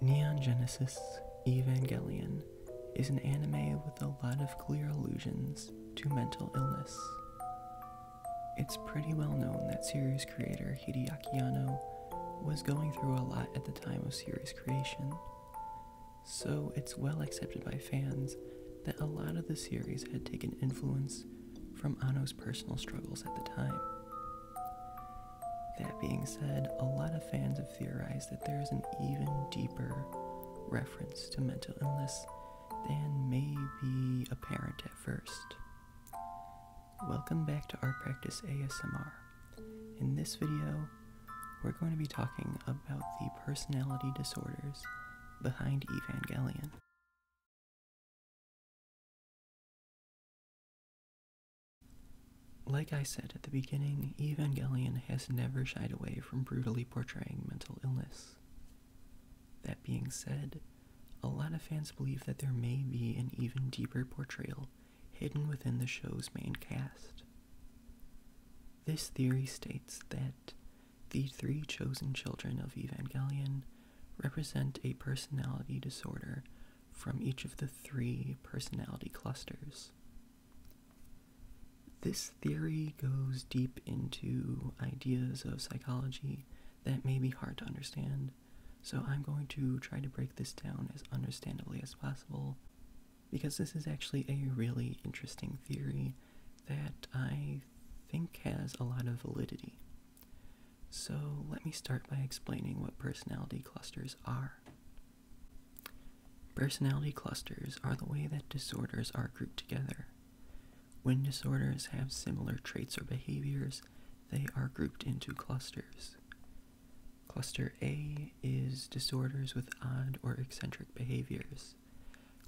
Neon Genesis Evangelion is an anime with a lot of clear allusions to mental illness. It's pretty well known that series creator Hideaki Anno was going through a lot at the time of series creation, so it's well accepted by fans that a lot of the series had taken influence from Anno's personal struggles at the time. That being said, a lot of fans have theorized that there is an even deeper reference to mental illness than may be apparent at first. Welcome back to Art Practice ASMR. In this video, we're going to be talking about the personality disorders behind Evangelion. Like I said at the beginning, Evangelion has never shied away from brutally portraying mental illness. That being said, a lot of fans believe that there may be an even deeper portrayal hidden within the show's main cast. This theory states that the three chosen children of Evangelion represent a personality disorder from each of the three personality clusters this theory goes deep into ideas of psychology that may be hard to understand, so I'm going to try to break this down as understandably as possible because this is actually a really interesting theory that I think has a lot of validity. So let me start by explaining what personality clusters are. Personality clusters are the way that disorders are grouped together. When disorders have similar traits or behaviors, they are grouped into clusters. Cluster A is disorders with odd or eccentric behaviors.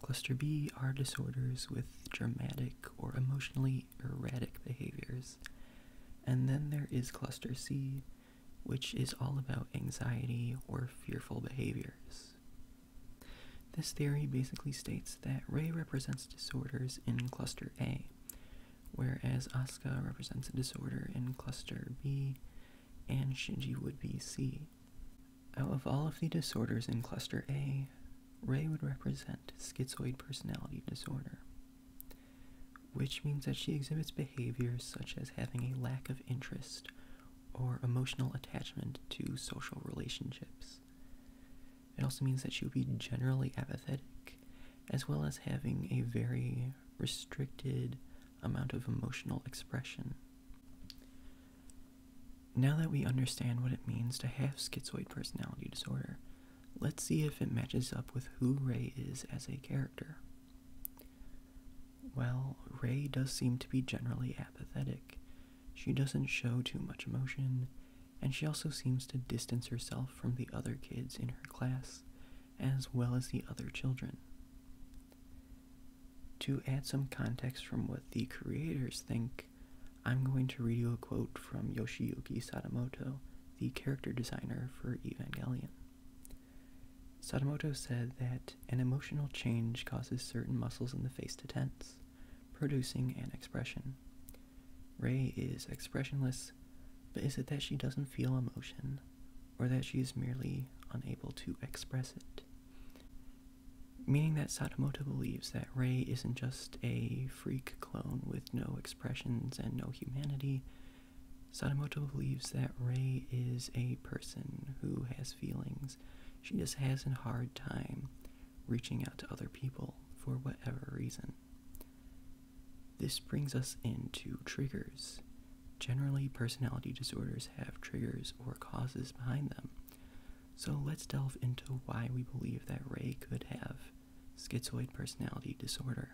Cluster B are disorders with dramatic or emotionally erratic behaviors. And then there is cluster C, which is all about anxiety or fearful behaviors. This theory basically states that Ray represents disorders in cluster A, whereas Asuka represents a disorder in cluster B, and Shinji would be C. Out of all of the disorders in cluster A, Ray would represent schizoid personality disorder, which means that she exhibits behaviors such as having a lack of interest or emotional attachment to social relationships. It also means that she would be generally apathetic, as well as having a very restricted amount of emotional expression. Now that we understand what it means to have schizoid personality disorder, let's see if it matches up with who Ray is as a character. Well, Ray does seem to be generally apathetic, she doesn't show too much emotion, and she also seems to distance herself from the other kids in her class, as well as the other children. To add some context from what the creators think, I'm going to read you a quote from Yoshiyuki Sadamoto, the character designer for Evangelion. Sadamoto said that an emotional change causes certain muscles in the face to tense, producing an expression. Ray is expressionless, but is it that she doesn't feel emotion, or that she is merely unable to express it? Meaning that Sadamoto believes that Ray isn't just a freak clone with no expressions and no humanity, Sadamoto believes that Ray is a person who has feelings. She just has a hard time reaching out to other people for whatever reason. This brings us into triggers. Generally, personality disorders have triggers or causes behind them. So let's delve into why we believe that Ray could have schizoid personality disorder.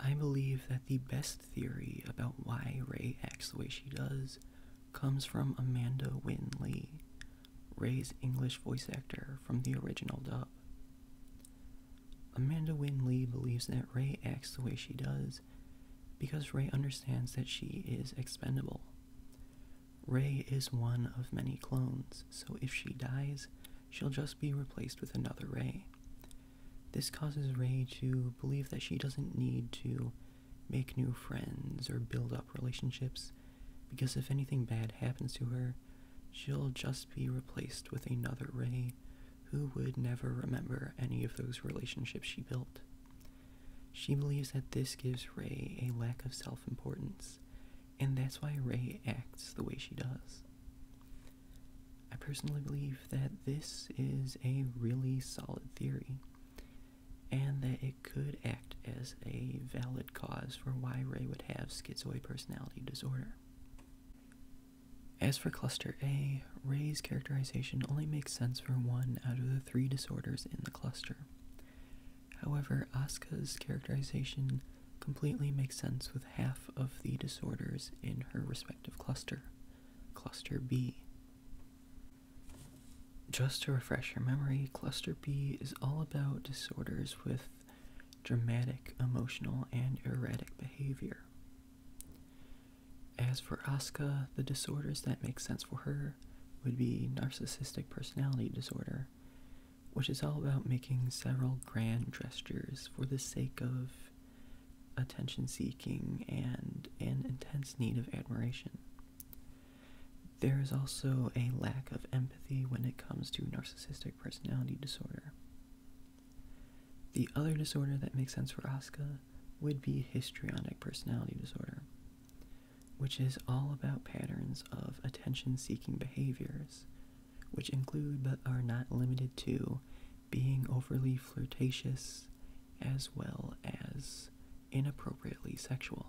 I believe that the best theory about why Ray acts the way she does comes from Amanda Wynne Lee, Ray's English voice actor from the original dub. Amanda Wynne Lee believes that Ray acts the way she does because Ray understands that she is expendable. Ray is one of many clones, so if she dies, she'll just be replaced with another Ray. This causes Ray to believe that she doesn't need to make new friends or build up relationships, because if anything bad happens to her, she'll just be replaced with another Ray who would never remember any of those relationships she built. She believes that this gives Ray a lack of self importance and that's why Ray acts the way she does. I personally believe that this is a really solid theory, and that it could act as a valid cause for why Ray would have schizoid personality disorder. As for cluster A, Ray's characterization only makes sense for one out of the three disorders in the cluster. However, Asuka's characterization completely makes sense with half of the disorders in her respective cluster, Cluster B. Just to refresh your memory, Cluster B is all about disorders with dramatic, emotional, and erratic behavior. As for Asuka, the disorders that make sense for her would be narcissistic personality disorder, which is all about making several grand gestures for the sake of attention seeking and an intense need of admiration. There is also a lack of empathy when it comes to narcissistic personality disorder. The other disorder that makes sense for Asuka would be histrionic personality disorder which is all about patterns of attention seeking behaviors, which include but are not limited to being overly flirtatious as well as inappropriately sexual.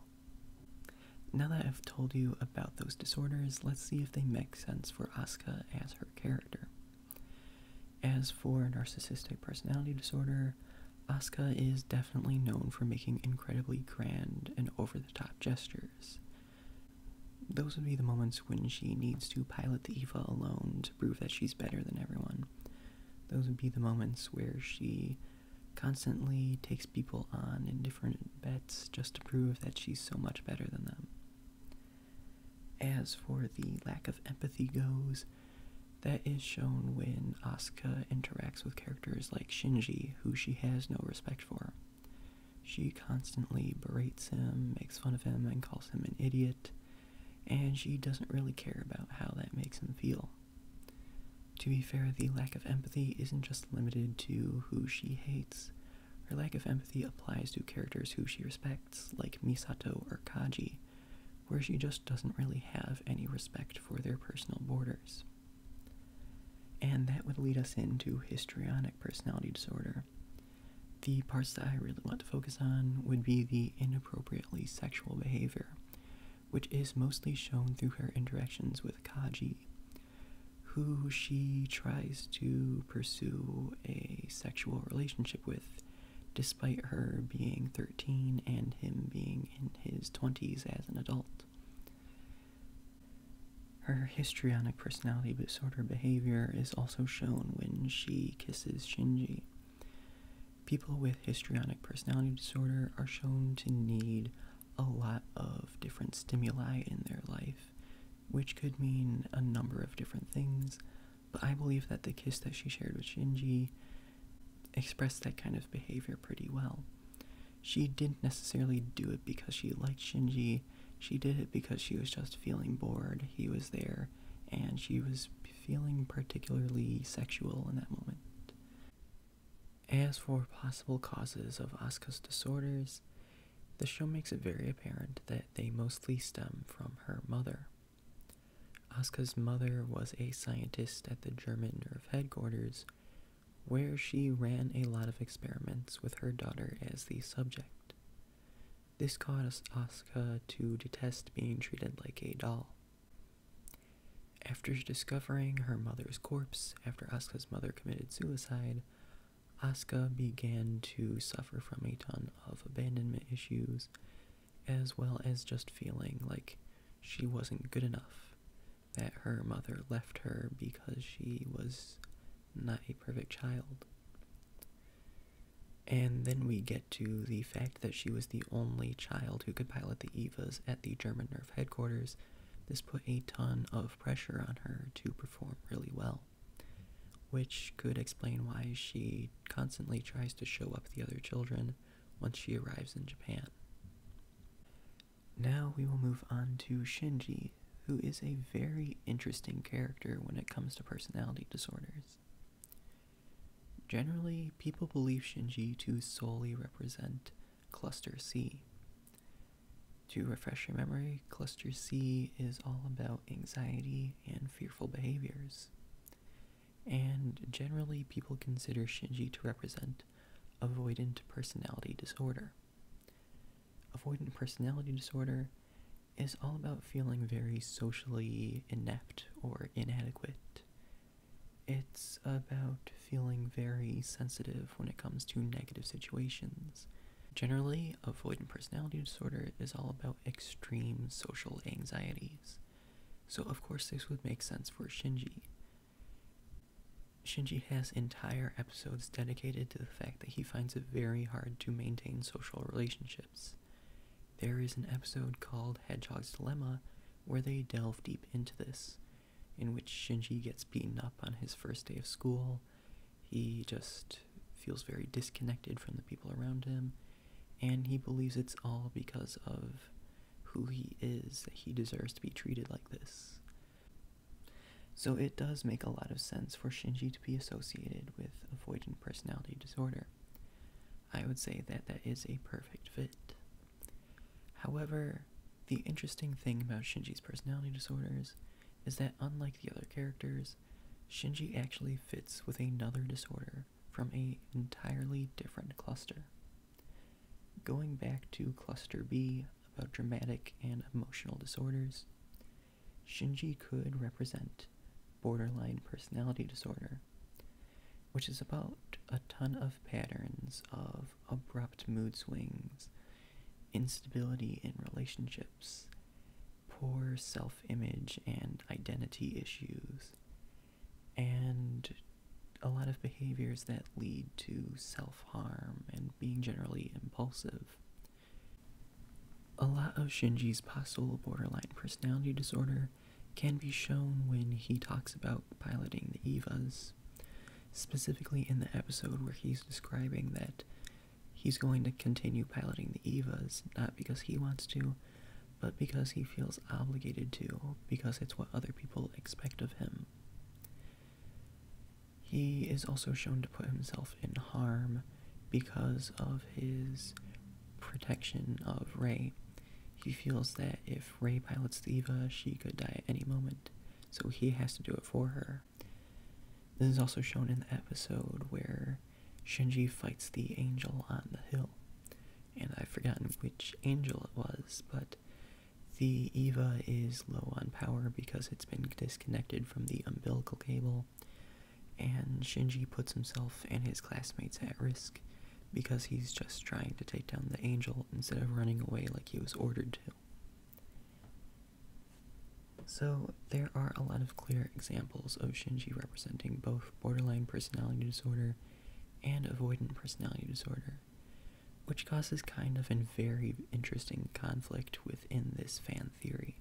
Now that I've told you about those disorders, let's see if they make sense for Asuka as her character. As for narcissistic personality disorder, Asuka is definitely known for making incredibly grand and over the top gestures. Those would be the moments when she needs to pilot the Eva alone to prove that she's better than everyone. Those would be the moments where she constantly takes people on in different bets just to prove that she's so much better than them. As for the lack of empathy goes, that is shown when when Asuka interacts with characters like Shinji, who she has no respect for. She constantly berates him, makes fun of him, and calls him an idiot, and she doesn't really care about how that makes him feel. To be fair, the lack of empathy isn't just limited to who she hates. Her lack of empathy applies to characters who she respects, like Misato or Kaji, where she just doesn't really have any respect for their personal borders. And that would lead us into histrionic personality disorder. The parts that I really want to focus on would be the inappropriately sexual behavior, which is mostly shown through her interactions with Kaji, who she tries to pursue a sexual relationship with despite her being 13 and him being in his 20s as an adult. Her histrionic personality disorder behavior is also shown when she kisses Shinji. People with histrionic personality disorder are shown to need a lot of different stimuli in their life, which could mean a number of different things, but I believe that the kiss that she shared with Shinji expressed that kind of behavior pretty well. She didn't necessarily do it because she liked Shinji. She did it because she was just feeling bored. He was there, and she was feeling particularly sexual in that moment. As for possible causes of Asuka's disorders, the show makes it very apparent that they mostly stem from her mother, Asuka's mother was a scientist at the German nerve headquarters, where she ran a lot of experiments with her daughter as the subject. This caused Asuka to detest being treated like a doll. After discovering her mother's corpse after Asuka's mother committed suicide, Asuka began to suffer from a ton of abandonment issues as well as just feeling like she wasn't good enough, that her mother left her because she was not a perfect child. And then we get to the fact that she was the only child who could pilot the EVAs at the German Nerve headquarters. This put a ton of pressure on her to perform really well, which could explain why she constantly tries to show up the other children once she arrives in Japan. Now we will move on to Shinji, who is a very interesting character when it comes to personality disorders. Generally, people believe Shinji to solely represent Cluster C. To refresh your memory, Cluster C is all about anxiety and fearful behaviors and generally people consider Shinji to represent avoidant personality disorder. Avoidant personality disorder is all about feeling very socially inept or inadequate. It's about feeling very sensitive when it comes to negative situations. Generally, avoidant personality disorder is all about extreme social anxieties. So, of course, this would make sense for Shinji. Shinji has entire episodes dedicated to the fact that he finds it very hard to maintain social relationships. There is an episode called Hedgehog's Dilemma where they delve deep into this, in which Shinji gets beaten up on his first day of school. He just feels very disconnected from the people around him and he believes it's all because of who he is that he deserves to be treated like this. So it does make a lot of sense for Shinji to be associated with avoidant personality disorder. I would say that that is a perfect fit. However, the interesting thing about Shinji's personality disorders is that unlike the other characters, Shinji actually fits with another disorder from a entirely different cluster. Going back to cluster B about dramatic and emotional disorders, Shinji could represent borderline personality disorder, which is about a ton of patterns of abrupt mood swings, instability in relationships, poor self image and identity issues, and a lot of behaviors that lead to self harm and being generally impulsive. A lot of Shinji's possible borderline personality disorder can be shown when he talks about piloting the EVAs, specifically in the episode where he's describing that he's going to continue piloting the Evas, not because he wants to, but because he feels obligated to, because it's what other people expect of him. He is also shown to put himself in harm because of his protection of Ray. He feels that if Ray pilots the Eva, she could die at any moment, so he has to do it for her. This is also shown in the episode where Shinji fights the angel on the hill. And I've forgotten which angel it was, but the Eva is low on power because it's been disconnected from the umbilical cable, and Shinji puts himself and his classmates at risk because he's just trying to take down the angel instead of running away like he was ordered to. So, there are a lot of clear examples of Shinji representing both borderline personality disorder and avoidant personality disorder, which causes kind of a very interesting conflict within this fan theory.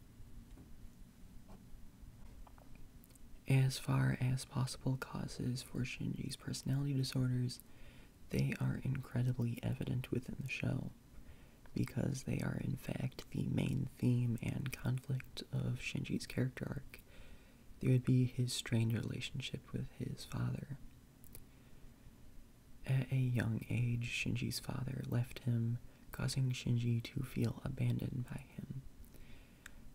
As far as possible causes for Shinji's personality disorders, they are incredibly evident within the show because they are, in fact, the main theme and conflict of Shinji's character arc. They would be his strained relationship with his father. At a young age, Shinji's father left him, causing Shinji to feel abandoned by him.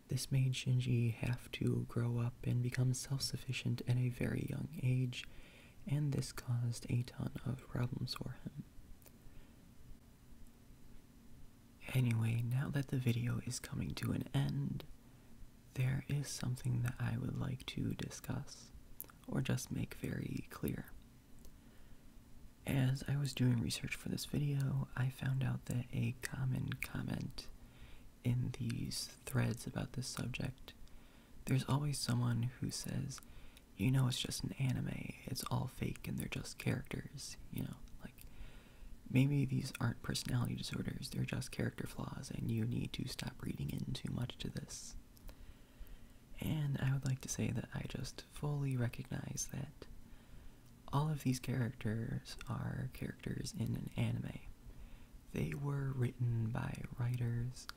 This made Shinji have to grow up and become self sufficient at a very young age, and this caused a ton of problems for him. Anyway, now that the video is coming to an end, there is something that I would like to discuss or just make very clear. As I was doing research for this video, I found out that a common comment in these threads about this subject, there's always someone who says, you know it's just an anime. It's all fake and they're just characters, you know? Like maybe these aren't personality disorders, they're just character flaws and you need to stop reading in too much to this. And I would like to say that I just fully recognize that all of these characters are characters in an anime. They were written by writers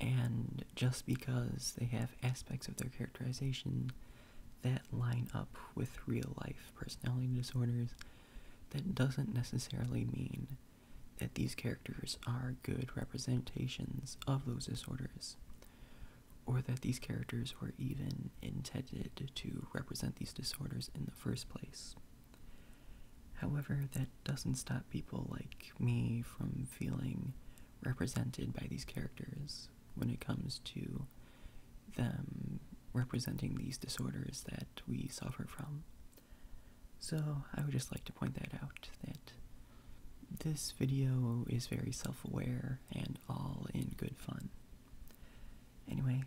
and just because they have aspects of their characterization that line up with real life personality disorders, that doesn't necessarily mean that these characters are good representations of those disorders, or that these characters were even intended to represent these disorders in the first place. However, that doesn't stop people like me from feeling represented by these characters when it comes to them representing these disorders that we suffer from. So I would just like to point that out that this video is very self-aware and all in good fun. Anyway,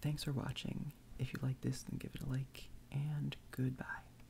thanks for watching. If you like this, then give it a like, and goodbye.